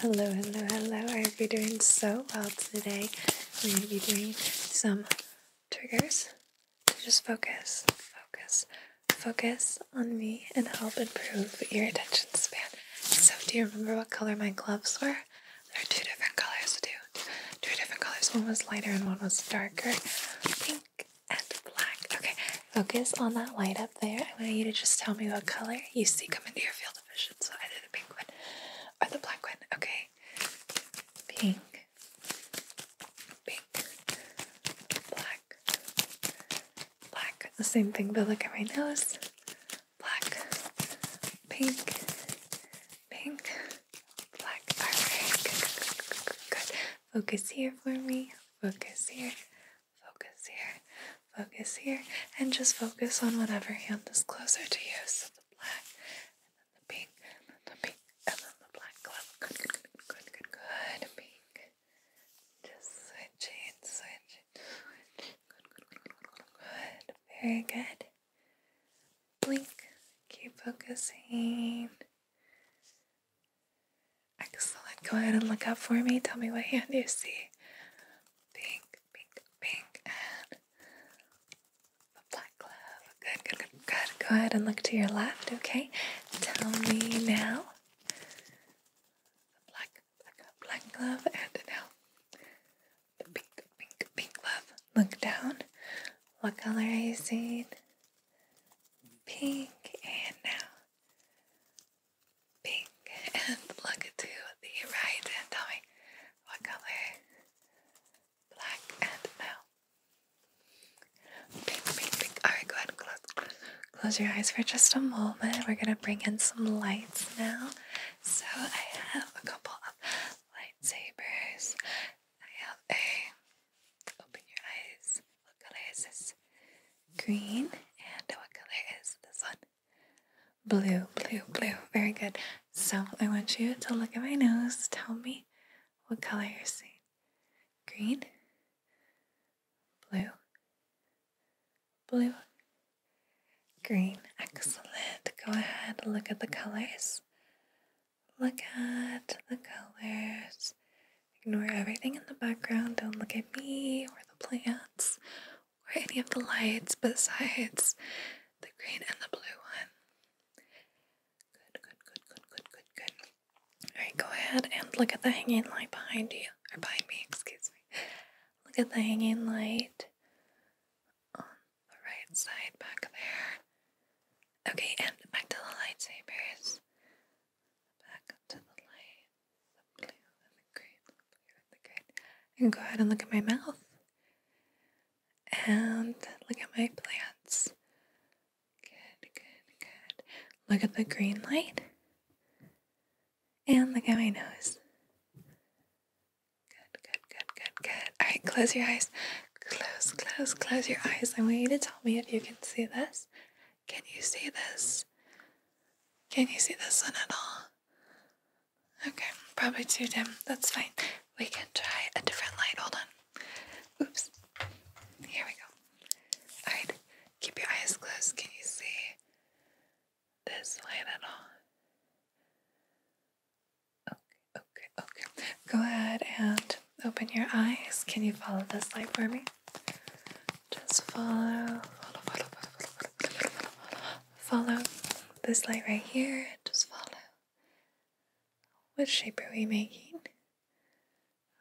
Hello, hello, hello. I hope you're doing so well today. We're going to be doing some triggers to just focus, focus, focus on me and help improve your attention span. So, do you remember what color my gloves were? There are two different colors, too. two different colors. One was lighter and one was darker. Pink and black. Okay, focus on that light up there. I want you to just tell me what color you see coming into your field television, so either the pink one or the black one. Okay, pink, pink, black, black. The same thing, but look at my nose. Black, pink, pink, black. Alright, good. Focus here for me. Focus here. Focus here, focus here, and just focus on whatever hand is closer to you. So the black, and then the pink, and then the pink, and then the black glove. Good, good, good, good, good, Pink. Just switching, switching, good, good, good, good, good. Very good. Blink. Keep focusing. Excellent. Go ahead and look up for me. Tell me what hand you see. Pink, pink, pink, and the black glove. Good, good, good, good. Go ahead and look to your left, okay? Tell me now. The black, black, black glove, and now the pink, pink, pink glove. Look down. What color are you seeing? Pink, and now pink and look to the right and tell me what color. Black and no. Pink, pink, pink. Alright, go ahead and close. Close your eyes for just a moment. We're gonna bring in some lights now. So I have a couple of lightsabers. I have a open your eyes. What color this? Green. And what color is this one? Blue, blue, blue. Very good. So I want you to look at my nose. Tell me what color you're seeing. Green, blue, blue, green. Excellent. Go ahead, look at the colors. Look at the colors. Ignore everything in the background. Don't look at me or the plants or any of the lights besides the green and the blue one. Good, good, good, good, good, good, good. Alright, go ahead and look at the hanging light behind you, or behind me, excuse me. Look at the hanging light on the right side back there. Okay, and back to the lightsabers. Back to the light. Blue, and the green, blue, and the green. And go ahead and look at my mouth. And look at my plants. Good, good, good. Look at the green light. And look at my nose. Good, good, good, good, good. All right, close your eyes. Close, close, close your eyes. I want you to tell me if you can see this. Can you see this? Can you see this one at all? Okay, probably too dim. That's fine. We can try a different light. Hold on. Oops. Here we go. Alright, keep your eyes closed. Can you see this light at all? Okay, okay, okay. Go ahead and open your eyes. Can you follow this light for me? Just follow, Follow this light right here, just follow. What shape are we making?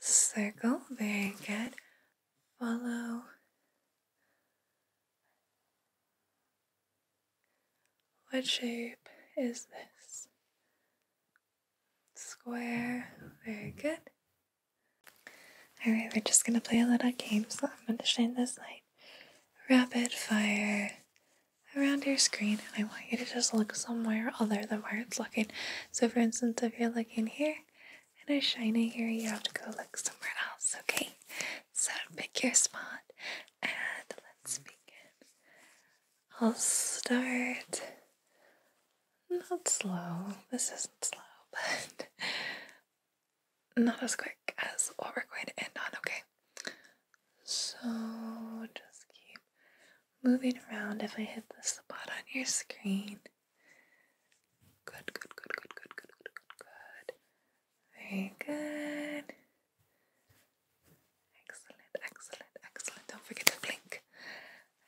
Circle, very good. Follow. What shape is this? Square, very good. Alright, we're just gonna play a little game, so I'm gonna shine this light rapid fire around your screen and I want you to just look somewhere other than where it's looking. So for instance, if you're looking here and I shine it here, you have to go look somewhere else, okay? So pick your spot and let's begin. I'll start not slow, this isn't slow, but not as quick as what we're going to end on, okay? So just keep moving around if I hit the spot on your screen. Good, good, good, good, good, good, good, good, good. Very good. Excellent, excellent, excellent. Don't forget to blink.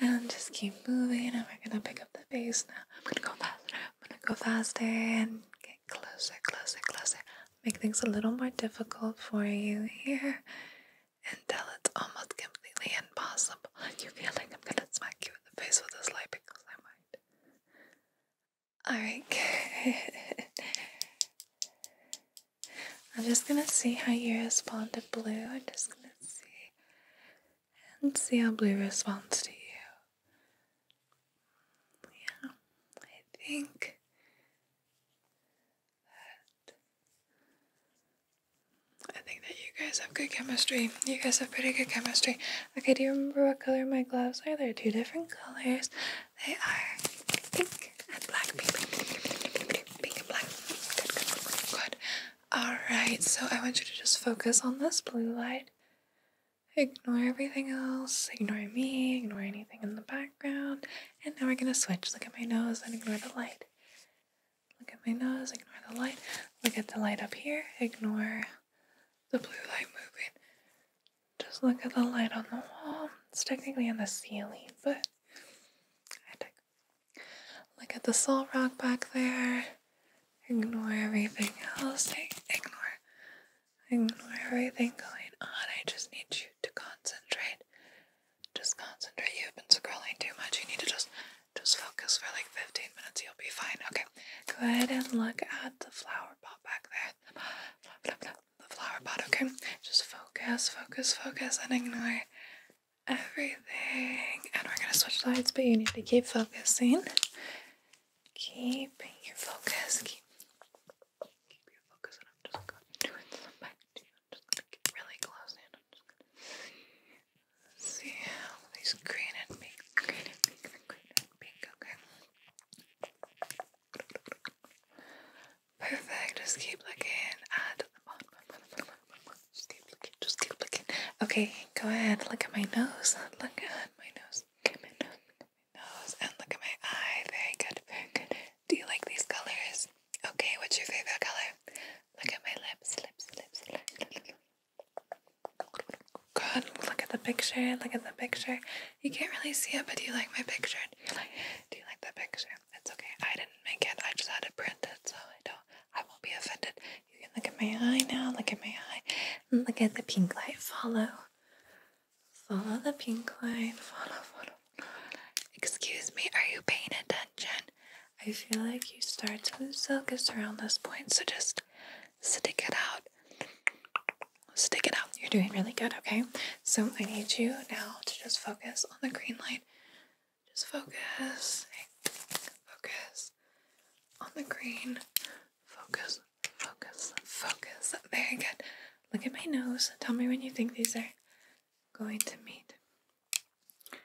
And just keep moving, and we're gonna pick up the pace now. I'm gonna go faster, I'm gonna go faster, and okay closer, closer, closer. Make things a little more difficult for you here until it's almost completely impossible. You feel like I'm gonna smack you in the face with this light because I might. Alright, I'm just gonna see how you respond to blue. I'm just gonna see and see how blue responds to you. Yeah, I think that I think that you guys have good chemistry. You guys have pretty good chemistry. Okay, do you remember what color my gloves are? They're two different colors. They are pink and black. Pink, and black. Good, good, good, good. All right. So I want you to just focus on this blue light. Ignore everything else, ignore me, ignore anything in the background, and now we're gonna switch. Look at my nose and ignore the light. Look at my nose, ignore the light. Look at the light up here, ignore the blue light moving. Just look at the light on the wall. It's technically on the ceiling, but Look at the salt rock back there. Ignore everything else. Ignore ignore everything going on. I just need you to concentrate. Just concentrate. You've been scrolling too much. You need to just just focus for like 15 minutes. You'll be fine. Okay. Go ahead and look at the flower pot back there. The flower pot, okay? Just focus, focus, focus, and ignore everything. And we're gonna switch lights, but you need to keep focusing. Keep your focus. Keep, your focus, and I'm just going to do it back to really close in. see how these green and pink, green and pink, and pink. Okay. Perfect. Just keep looking the bottom. Just keep looking. Just keep looking. Okay, go ahead. Look at my nose. Look at my nose nose and look at my eye. Very good, very good. Do you like these colors? Okay, what's your favorite color? Look at my lips, lips, lips, lips. Good. Look at the picture. Look at the picture. You can't really see it, but do you like my picture? Do you like, do the picture? It's okay. I didn't make it. I just had it printed, so I don't. I won't be offended. You can look at my eye now. Look at my eye. And look at the pink light. Follow. Follow the pink line. Follow, follow, follow. Excuse me, are you paying attention? I feel like you start to lose focus around this point, so just stick it out. Stick it out. You're doing really good, okay? So I need you now to just focus on the green light. Just focus. focus on the green Focus, focus, focus. Very good. Look at my nose. Tell me when you think these are going to meet. Good,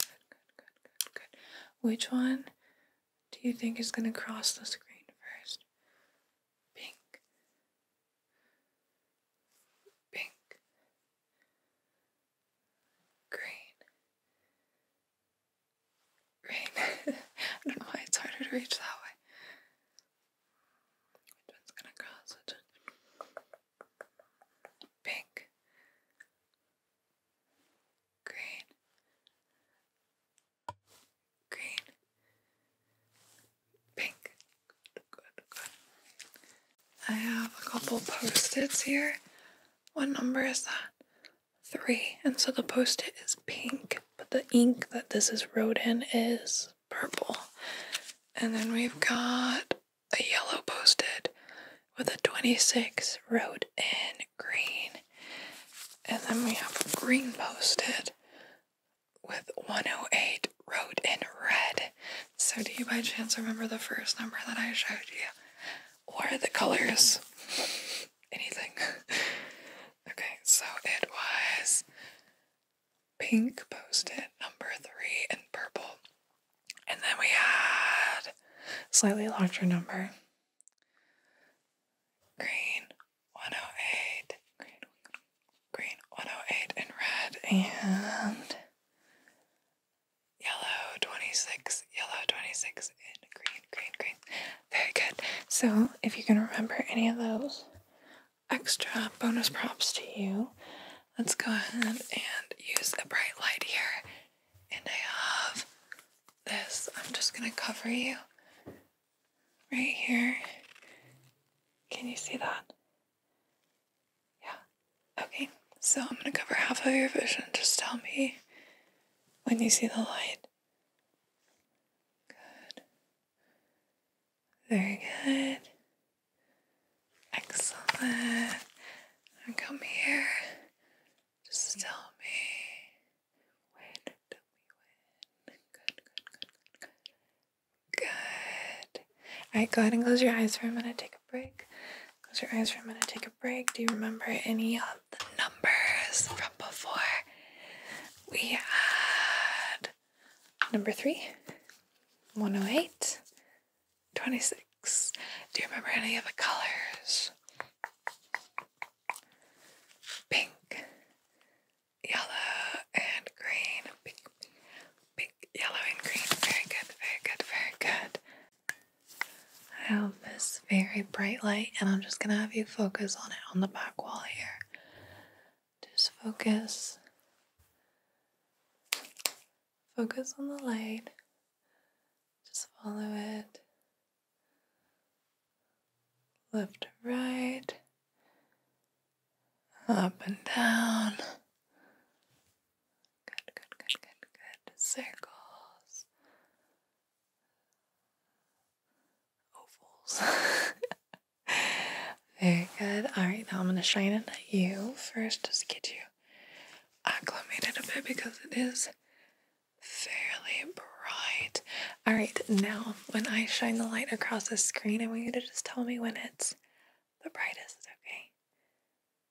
good, good, good, good. Which one do you think is going to cross the screen first? Pink. Pink green, green. I don't know why it's harder to reach that way. Which one's gonna cross? Which one? Pink, green, green, pink. Good, good. I have a couple post-its here. What number is that? Three. And so the post it is pink, but the ink that this is wrote in is purple. And then we've got a yellow post it with a 26 wrote in green. And then we have green post it with 108 wrote in red. So, do you by chance remember the first number that I showed you? or the colors, anything. okay, so it was pink post-it number three and purple. And then we had slightly larger number. Green 108, green, 108 and red, and Yellow 26, yellow 26, and green, green, green. Very good. So, if you can remember any of those extra bonus props to you, let's go ahead and use a bright light here. And I have this. I'm just going to cover you right here. Can you see that? Yeah, Okay, so I'm gonna cover half of your vision. Just tell me when you see the light. Good. Very good. Excellent. come here. Just tell me when. Tell me when. good, good, good, good. Good. Alright, go ahead and close your eyes for a minute. Take break. Close your eyes for gonna take a break. Do you remember any of the numbers from before? We had number three, 108, 26. Do you remember any of the colors? Pink, yellow, and green. Pink, pink, yellow, and green. Very good, very good, very good. I have this very bright light, and I'm just gonna have you focus on it on the back wall here. Just focus. Focus on the light. Just follow it. Left right. Up and down. Good, good, good, good, good. Circles. Ovals. Very good. Alright, now I'm going to shine it at you first to get you acclimated a bit because it is fairly bright. Alright, now when I shine the light across the screen, I want you to just tell me when it's the brightest, okay?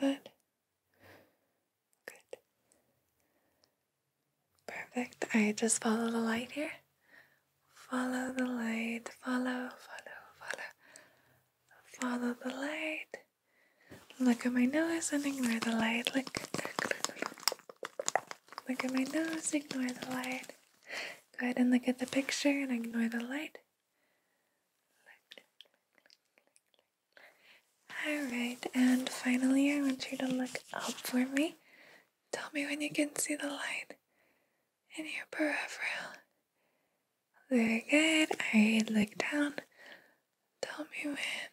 Good. Good. Perfect. I just follow the light here. Follow the light. Follow, follow, follow. Follow the light. Look at my nose and ignore the light. Look. Look at my nose, ignore the light. Go ahead and look at the picture and ignore the light. Alright, and finally I want you to look up for me. Tell me when you can see the light in your peripheral. Very good. I look down. Tell me when.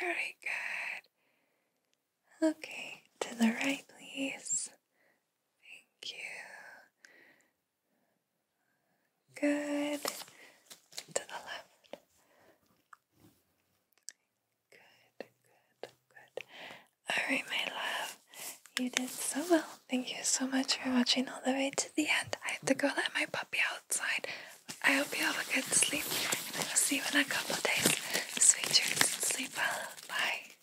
Very good. Okay, to the right, please. Thank you. Good. To the left. Good, good, good. Alright, my love. You did so well. Thank you so much for watching all the way to the end. I have to go let my puppy outside. I hope you have a good sleep, and I will see you in a couple days. Sweet dreams sleep well. Bye.